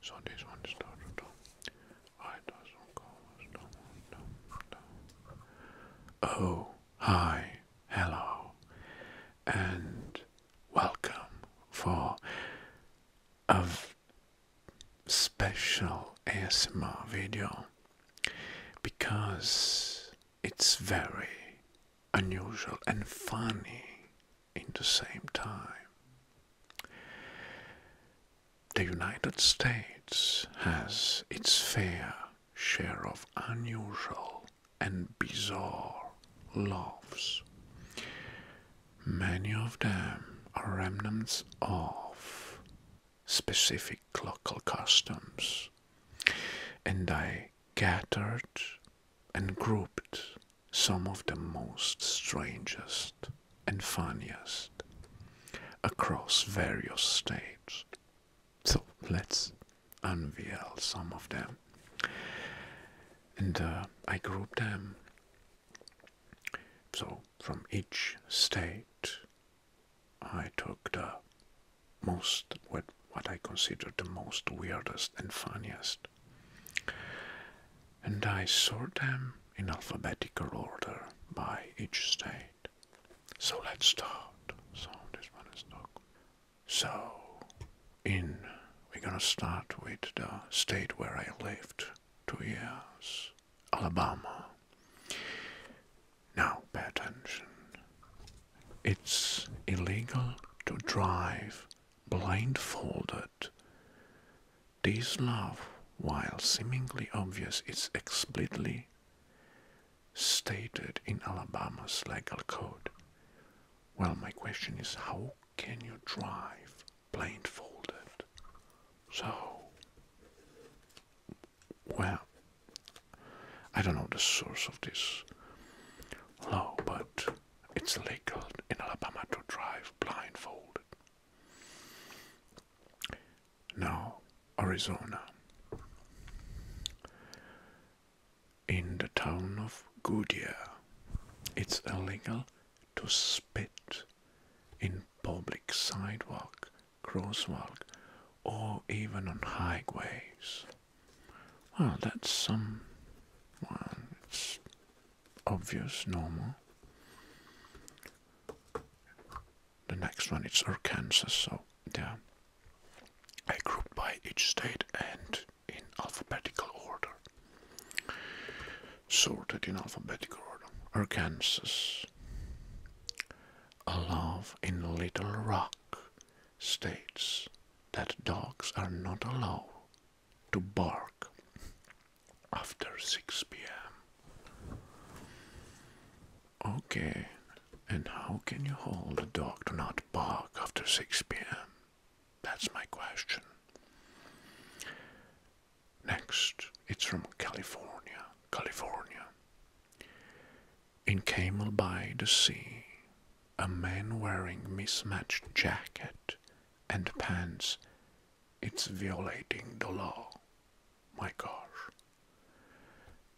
So this one started down. Oh, hi, hello, and welcome for a special ASMR video because it's very unusual and funny in the same time. The United States has its fair share of unusual and bizarre laws. Many of them are remnants of specific local customs, and I gathered and grouped some of the most strangest and funniest across various states. So let's unveil some of them. And uh, I grouped them so from each state I took the most what, what I considered the most weirdest and funniest and I sort them in alphabetical order by each state. So let's start. So this one is dog. So in we're gonna start with the state where I lived two years, Alabama. Now pay attention. It's illegal to drive blindfolded this law, while seemingly obvious, is explicitly stated in Alabama's legal code. Well, my question is how can you drive blindfolded? So, well, I don't know the source of this law, but it's legal in Alabama to drive blindfolded. Now, Arizona. In the town of Goodyear, it's illegal to spit in public sidewalk, crosswalk, or even on highways. Well, that's some. Well, obvious, normal. The next one is Arkansas, so yeah. I grouped by each state and in alphabetical order. Sorted in alphabetical order. Arkansas. A love in Little Rock states that dogs are not allowed to bark after 6 p.m. Okay, and how can you hold a dog to not bark after 6 p.m.? That's my question. Next, it's from California, California. In Camel by the Sea, a man wearing mismatched jacket and pants. It's violating the law. My gosh.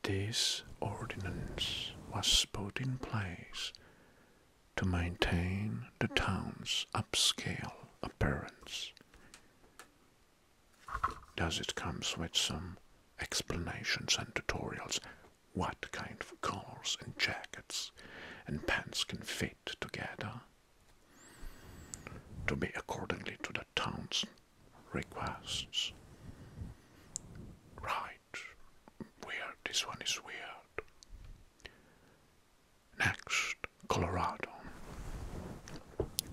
This ordinance was put in place to maintain the town's upscale appearance. Does it comes with some explanations and tutorials what kind of collars and jackets and pants can fit together to be accordingly to the town's requests. Right, weird, this one is weird. Next, Colorado.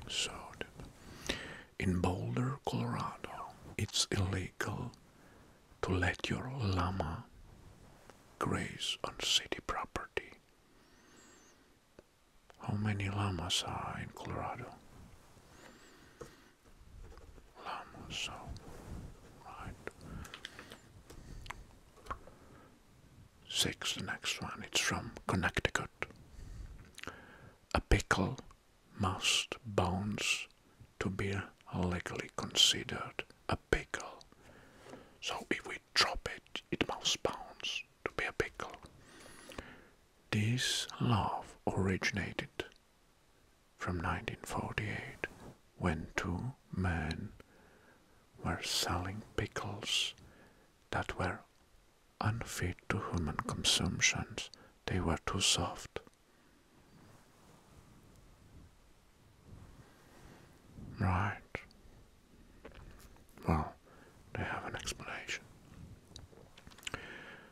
So, in Boulder, Colorado, it's illegal to let your Lama graze on city property. How many llamas are in Colorado? Llamas, so, right. Six, the next one, it's from Connecticut. A pickle must bounce to be legally considered a pickle. So if we drop it, it must bounce to be a pickle. This love originated from 1948 when two men were selling pickles that were unfit to human consumption. They were too soft. Right. Well, they have an explanation.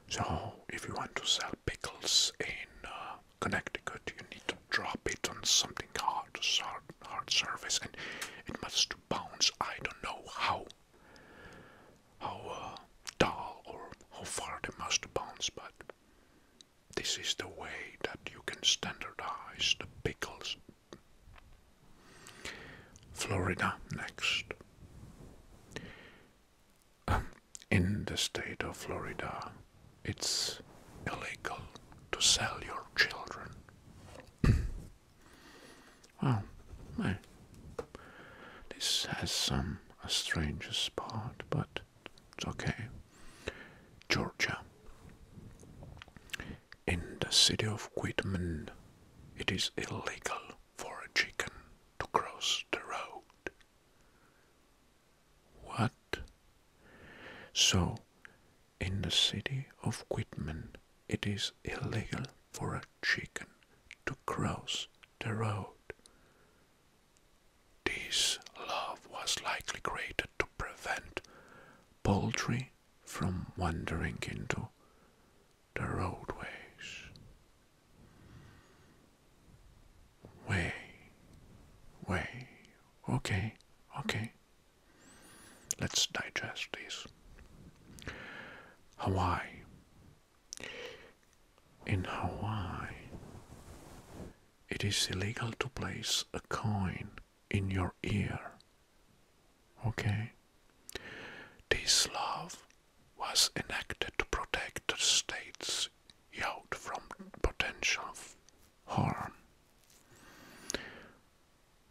So, if you want to sell pickles in uh, Connecticut, you need to drop it on something hard, hard, hard surface, and it must bounce. I don't know how, how uh, or how far they must bounce, but this is the way that you can standardize the pickles. Florida next. Um, in the state of Florida, it's illegal to sell your children. well, this has some a strange spot, but it's okay. Georgia. In the city of Whitman, it is illegal for a chicken to cross the road. What? So, in the city of Whitman, it is illegal for a chicken to cross the road. This love was likely created to prevent poultry from wandering into the roadways. Way, way, okay, okay. Let's digest this. Hawaii. In Hawaii, it is illegal to place a coin in your ear. Okay? This law was enacted to protect the state's yacht from potential harm.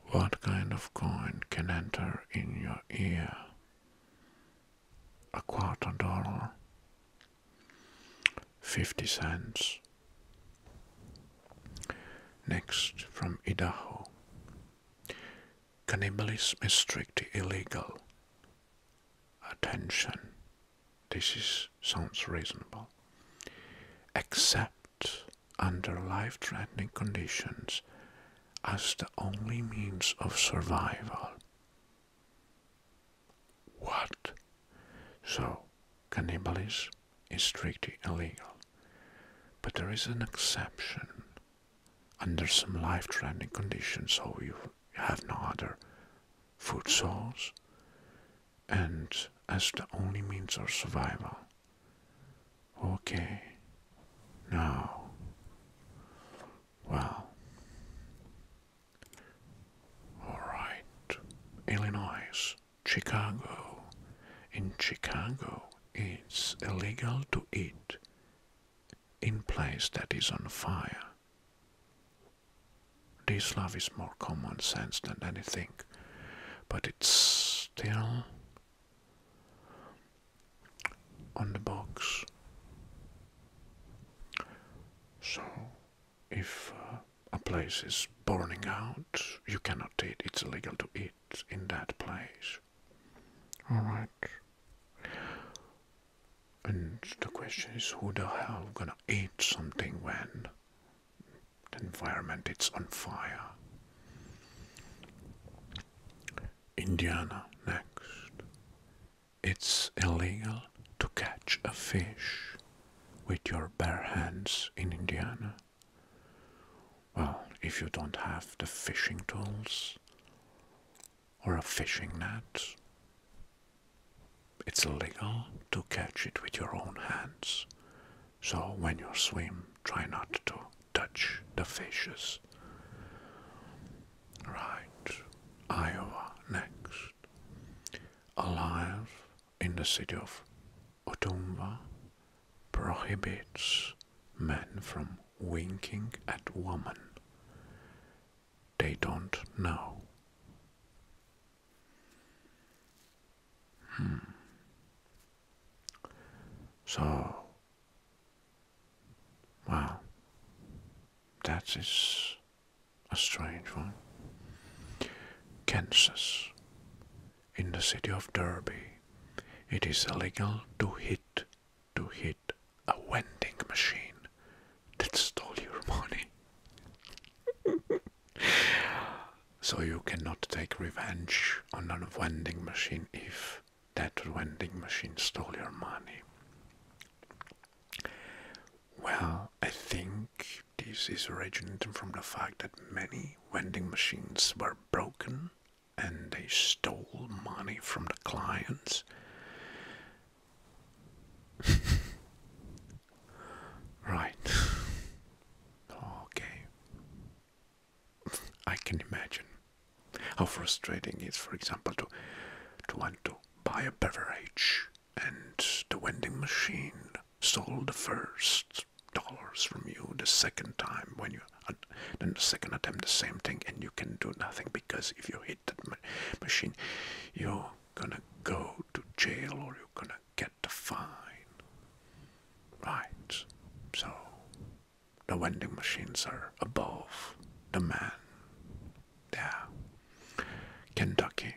What kind of coin can enter in your ear? A quarter dollar, 50 cents. Next, from Idaho. Cannibalism is strictly illegal. Attention. This is, sounds reasonable. Except under life threatening conditions as the only means of survival. What? So, cannibalism is strictly illegal. But there is an exception. Under some life-threatening conditions, so you have no other food source, and as the only means of survival. Okay, now, well, Alright, Illinois, Chicago. In Chicago, it's illegal to eat in place that is on fire. This love is more common sense than anything, but it's still on the box. So, if uh, a place is burning out, you cannot eat. It's illegal to eat in that place. Alright. And the question is who the hell gonna eat something when the environment is on fire? Indiana next. It's illegal to catch a fish with your bare hands in Indiana. Well, if you don't have the fishing tools or a fishing net, it's illegal to catch it with your own hands. So when you swim, try not to touch the fishes. Right, Iowa next. Alive in the city of Otumwa prohibits men from winking at women they don't know. Hmm. So, Wow. That is a strange one. Kansas. In the city of Derby, it is illegal to hit, to hit a vending machine that stole your money. so you cannot take revenge on a vending machine if that vending machine stole your money. Well, I think this is originating from the fact that many vending machines were broken and they stole money from the clients. right. okay. I can imagine. How frustrating it is, for example, to, to want to buy a beverage and the vending machine sold the first dollars from you the second time when you then the second attempt the same thing and you can do nothing because if you hit that machine you're gonna go to jail or you're gonna get the fine right so the vending machines are above the man. Yeah. Kentucky.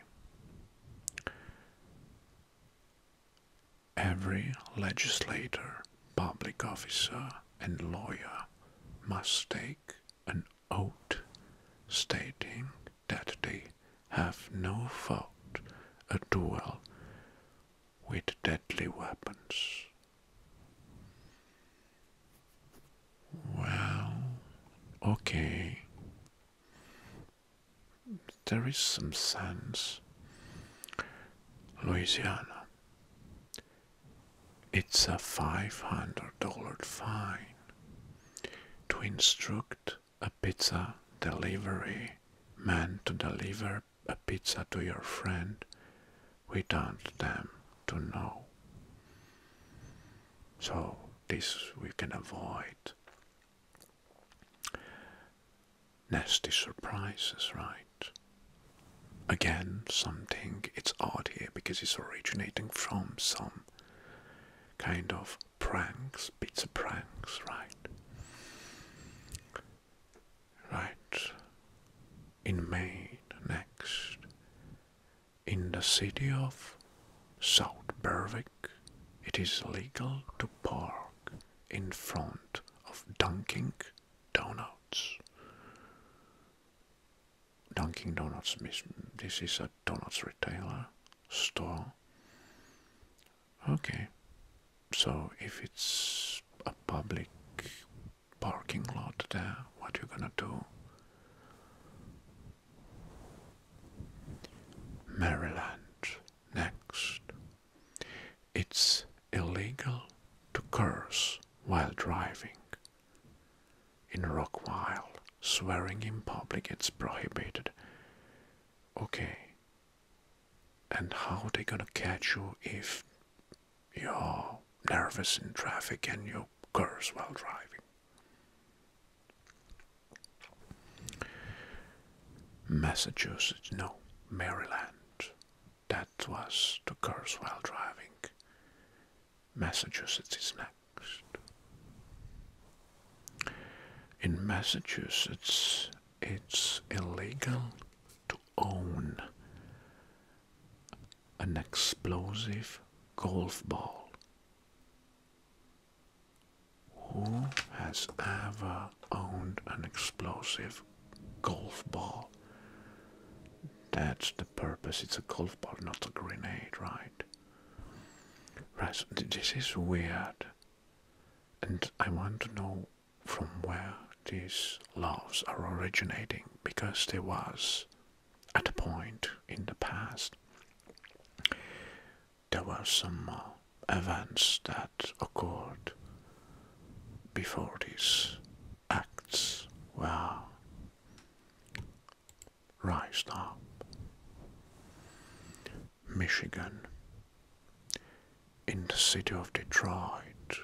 Every legislator, public officer, and lawyer must take an oath stating that they have no fault, a duel with deadly weapons well, okay. There is some sense. Louisiana. It's a $500 fine to instruct a pizza delivery man to deliver a pizza to your friend we don't them to know. So this we can avoid. Nasty surprises, right? Again, something it's odd here because it's originating from some kind of pranks, bits of pranks, right? right in May next, in the city of South Berwick, it is legal to park in front of Dunkin' Donuts. Dunkin' Donuts, this is a donuts retailer store. Okay, so if it's a public parking lot there, what you gonna do? Maryland next. It's illegal to curse while driving. In Rockwile, swearing in public it's prohibited. Okay. And how they gonna catch you if you're nervous in traffic and you curse while driving. Massachusetts, no, Maryland. That was to curse while driving. Massachusetts is next. In Massachusetts, it's illegal to own an explosive golf ball. Who has ever owned an explosive golf ball? That's the purpose. It's a golf ball, not a grenade, right? this is weird. And I want to know from where these loves are originating because there was at a point in the past there were some uh, events that occurred before these acts were raised up. Michigan, in the city of Detroit,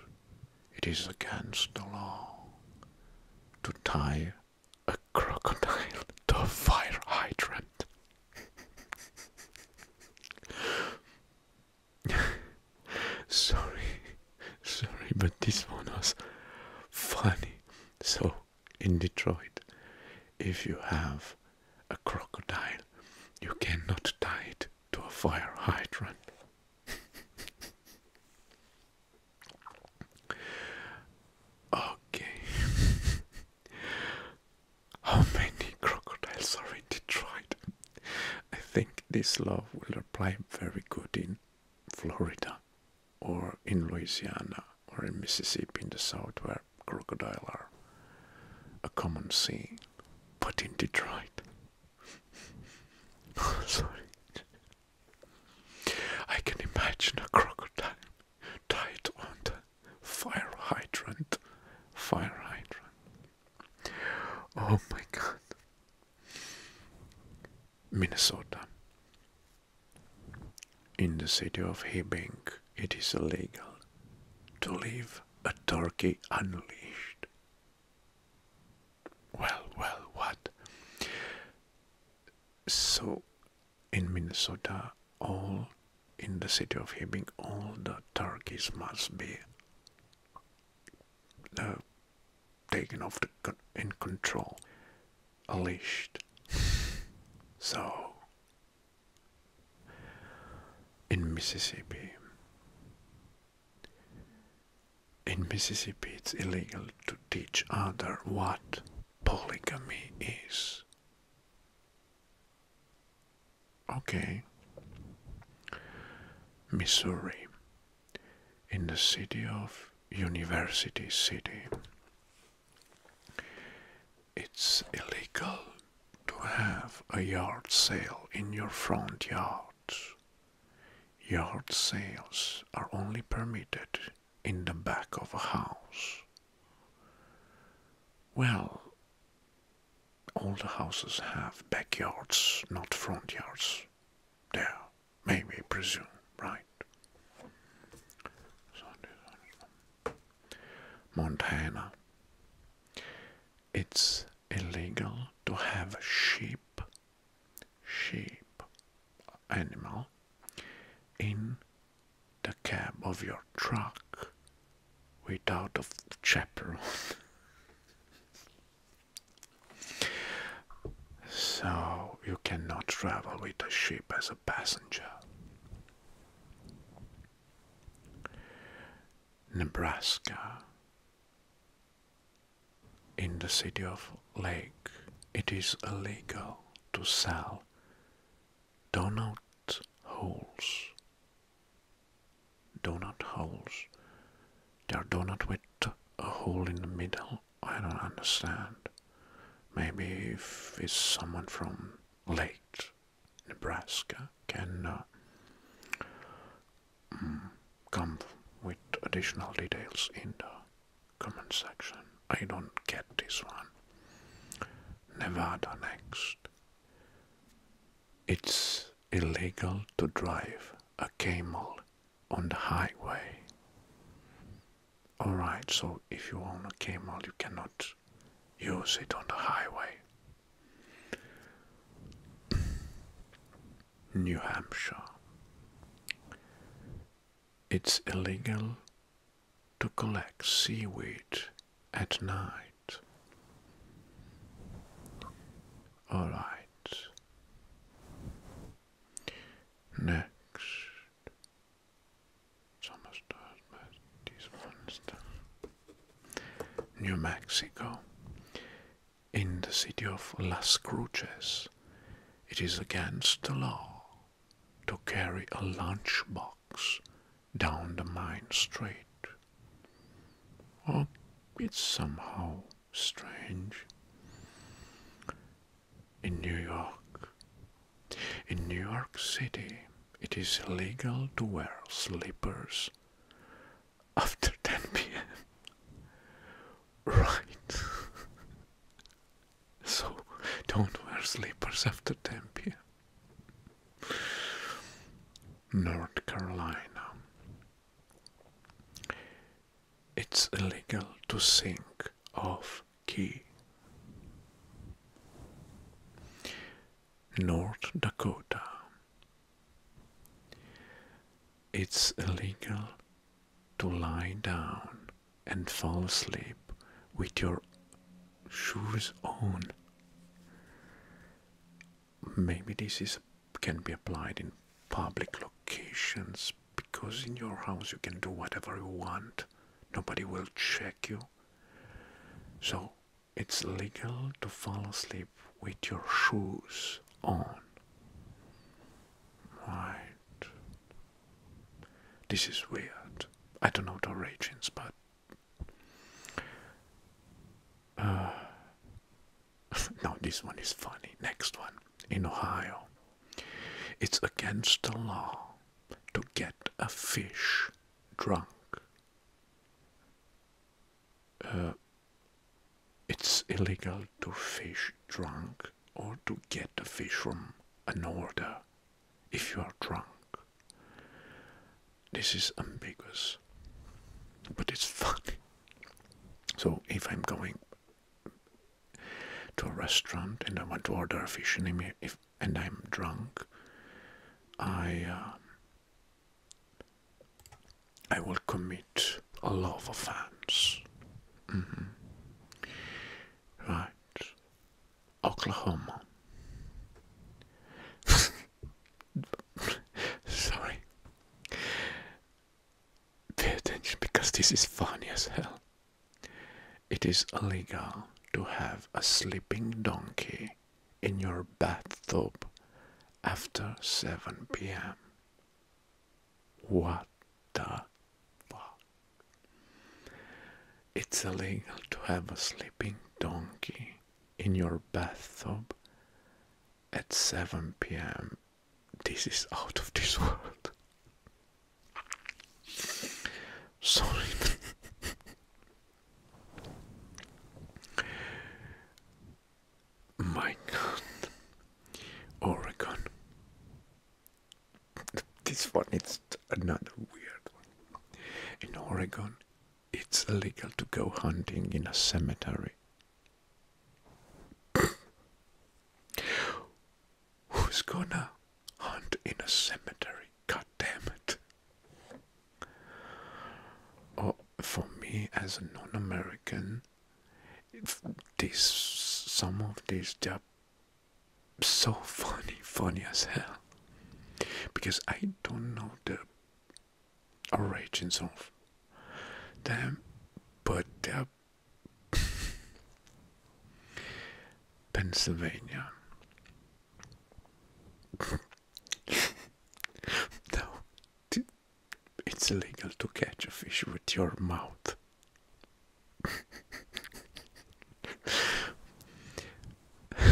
it is against the law to tie a crocodile to a fire hydrant. sorry, sorry, but this one was funny. So, in Detroit, if you have a crocodile, you cannot tie it to a fire hydrant. okay. How many crocodiles are in Detroit? I think this law will apply very good in Florida or in Louisiana or in Mississippi in the south where crocodiles are a common scene. But in Detroit Oh, sorry. I can imagine a crocodile tied on fire hydrant. Fire hydrant. Oh my god. Minnesota. In the city of Hibbing, it is illegal to leave a turkey unleashed well, well, what? So, in Minnesota, all in the city of Hibbing, all the turkeys must be uh, taken off in control, unleashed. so, in Mississippi, in Mississippi, it's illegal to teach other what polygamy is. Okay. Missouri, in the city of University City, it's illegal to have a yard sale in your front yard. Yard sales are only permitted in the back of a house. Well, all the houses have backyards, not front yards. There, may we presume, right? Montana it's illegal to have sheep, sheep, animal, in the cab of your truck without a chaperon. so you cannot travel with a sheep as a passenger. Nebraska in the city of Lake, it is illegal to sell donut holes. Donut holes. They are donut with a hole in the middle. I don't understand. Maybe if it's someone from Lake, Nebraska, can uh, mm, come with additional details in the comment section. I don't get this one. Nevada next. It's illegal to drive a camel on the highway. Alright, so if you own a camel, you cannot use it on the highway. New Hampshire. It's illegal to collect seaweed at night. All right. Next. New Mexico, in the city of Las Cruces, it is against the law to carry a lunchbox down the main street. Oh, it's somehow strange. In New York, in New York City, it is illegal to wear slippers after 10 p.m. Right. so don't wear slippers after 10 p.m. North Carolina. It's illegal to sing off key. North Dakota. It's illegal to lie down and fall asleep with your shoes on. Maybe this is can be applied in public locations because in your house you can do whatever you want. Nobody will check you. So it's legal to fall asleep with your shoes on. Right. This is weird. I don't know the origins, but. Uh, no, this one is funny. Next one. In Ohio, it's against the law to get a fish drunk. Uh, it's illegal to fish drunk or to get a fish from an order if you are drunk. This is ambiguous, but it's funny. So if I'm going to a restaurant and I want to order a fish and, I'm drunk, I uh, I will commit a love offense. Mm Right. Oklahoma. Sorry. Pay attention because this is funny as hell. It is illegal to have a sleeping donkey in your bathtub after 7 p.m. What the fuck? It's illegal to have a sleeping donkey in your bathtub at 7 p.m. This is out of this world. Sorry. My God, Oregon. This one is another weird one. In Oregon, it's illegal to go hunting in a cemetery. Who's gonna hunt in a cemetery? God damn it. Oh, for me as a non-American, these some of these they're so funny, funny as hell, because I don't know the origins of them, but they're Pennsylvania. no, it's illegal to catch a fish with your mouth.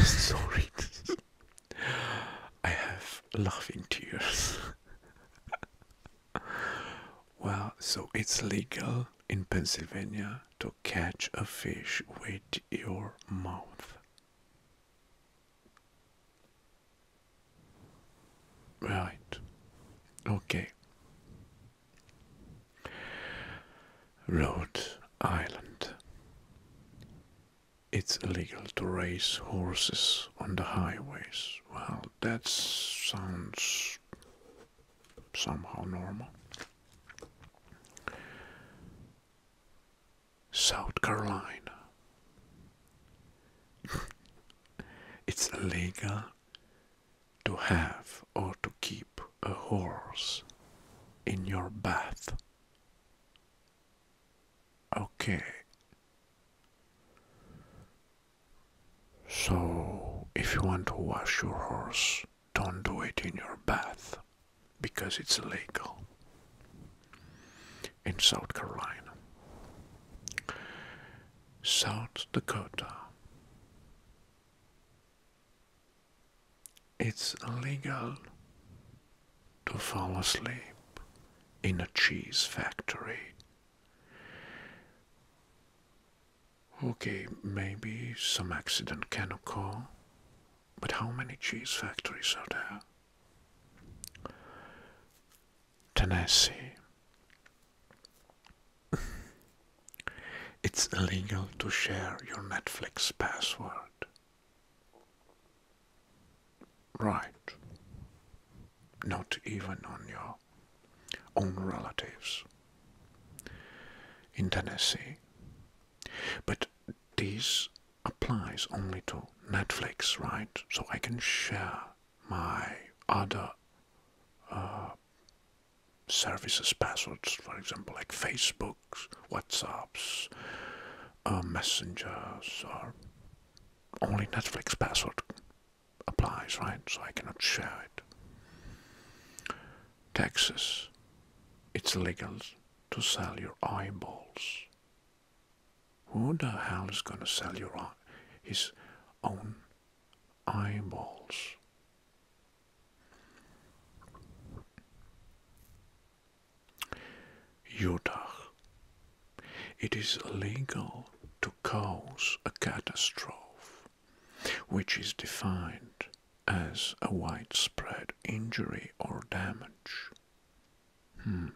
Sorry, I have laughing tears. well, so it's legal in Pennsylvania to catch a fish with your mouth. Right. Okay. Rhode Island. It's illegal to race horses on the highways. Well, that sounds somehow normal. South Carolina. it's legal to have or to keep a horse in your bath. Okay. So, if you want to wash your horse, don't do it in your bath because it's illegal in South Carolina. South Dakota. It's illegal to fall asleep in a cheese factory. Okay, maybe some accident can occur but how many cheese factories are there? Tennessee. it's illegal to share your Netflix password. Right. Not even on your own relatives in Tennessee. But this applies only to Netflix, right? So I can share my other uh, services passwords, for example, like Facebooks, WhatsApps, uh, Messengers, or only Netflix password applies, right? So I cannot share it. Taxes. It's illegal to sell your eyeballs. Who the hell is going to sell your his own eyeballs? Utah. It is illegal to cause a catastrophe, which is defined as a widespread injury or damage. Hmm.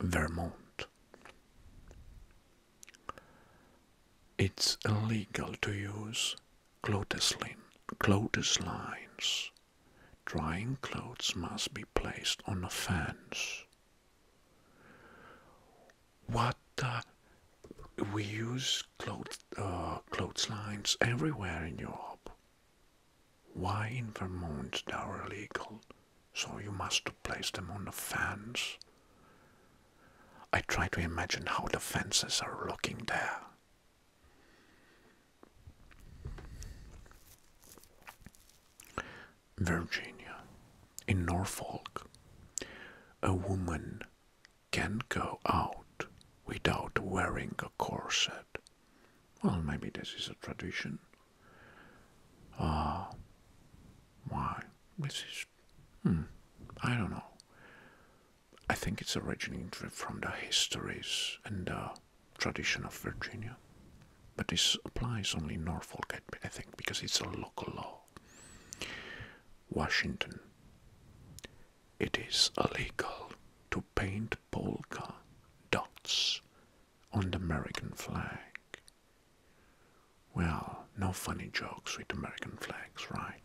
Vermont. It's illegal to use clothesline, clotheslines. Drying clothes must be placed on a fence what we use clothes uh, clotheslines everywhere in Europe. Why in Vermont they are illegal? So you must place them on the fence. I try to imagine how the fences are looking there. Virginia, in Norfolk, a woman can go out without wearing a corset. Well, maybe this is a tradition. Uh, why? This is. Hmm, I don't know. I think it's originating from the histories and the tradition of Virginia. But this applies only in Norfolk, I think, because it's a local law. Washington. It is illegal to paint polka dots on the American flag. Well, no funny jokes with American flags, right?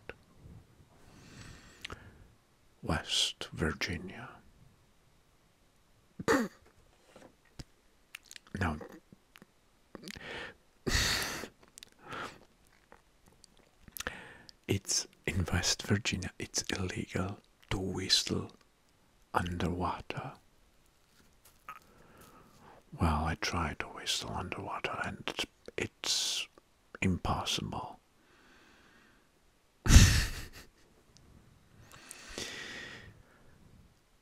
West Virginia. now, it's in West Virginia, it's illegal to whistle underwater. Well, I tried to whistle underwater and it's impossible.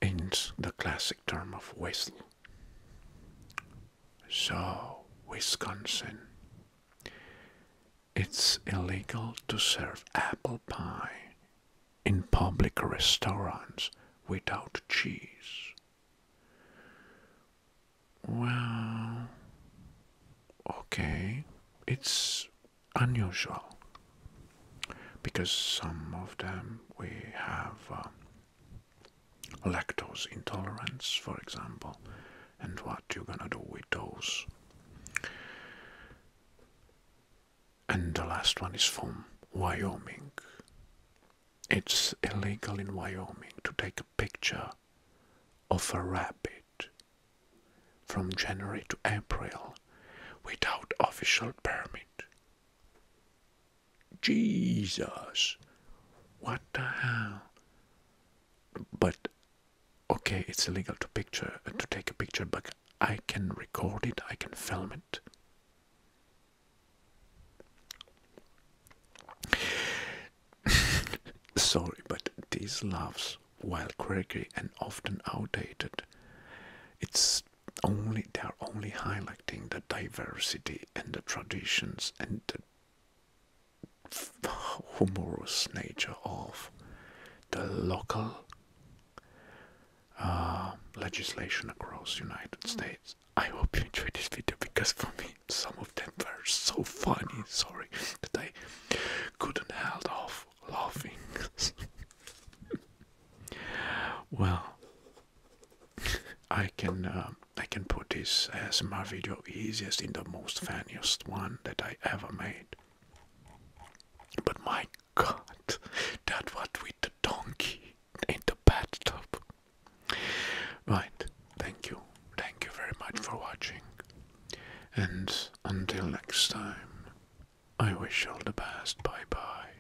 in the classic term of whistle. So, Wisconsin, it's illegal to serve apple pie in public restaurants without cheese. Well, okay, it's unusual because some of them we have um, lactose intolerance, for example, and what you're gonna do with those. And the last one is from Wyoming. It's illegal in Wyoming to take a picture of a rabbit from January to April without official permit. Jesus, what the hell? But okay, it's illegal to picture uh, to take a picture, but I can record it, I can film it. Sorry, but these laughs, while quirky and often outdated, it's only they are only highlighting the diversity and the traditions and the humorous nature of the local uh, legislation across United mm. States. I hope you enjoyed this video because for me some of them were so funny, sorry, that I couldn't hold off laughing. well, I can um, I can put this as my video easiest in the most funniest one that I ever made. But my God, that what with the donkey in the bathtub. Right, thank you, thank you very much for watching, and until next time, I wish all the best. Bye bye.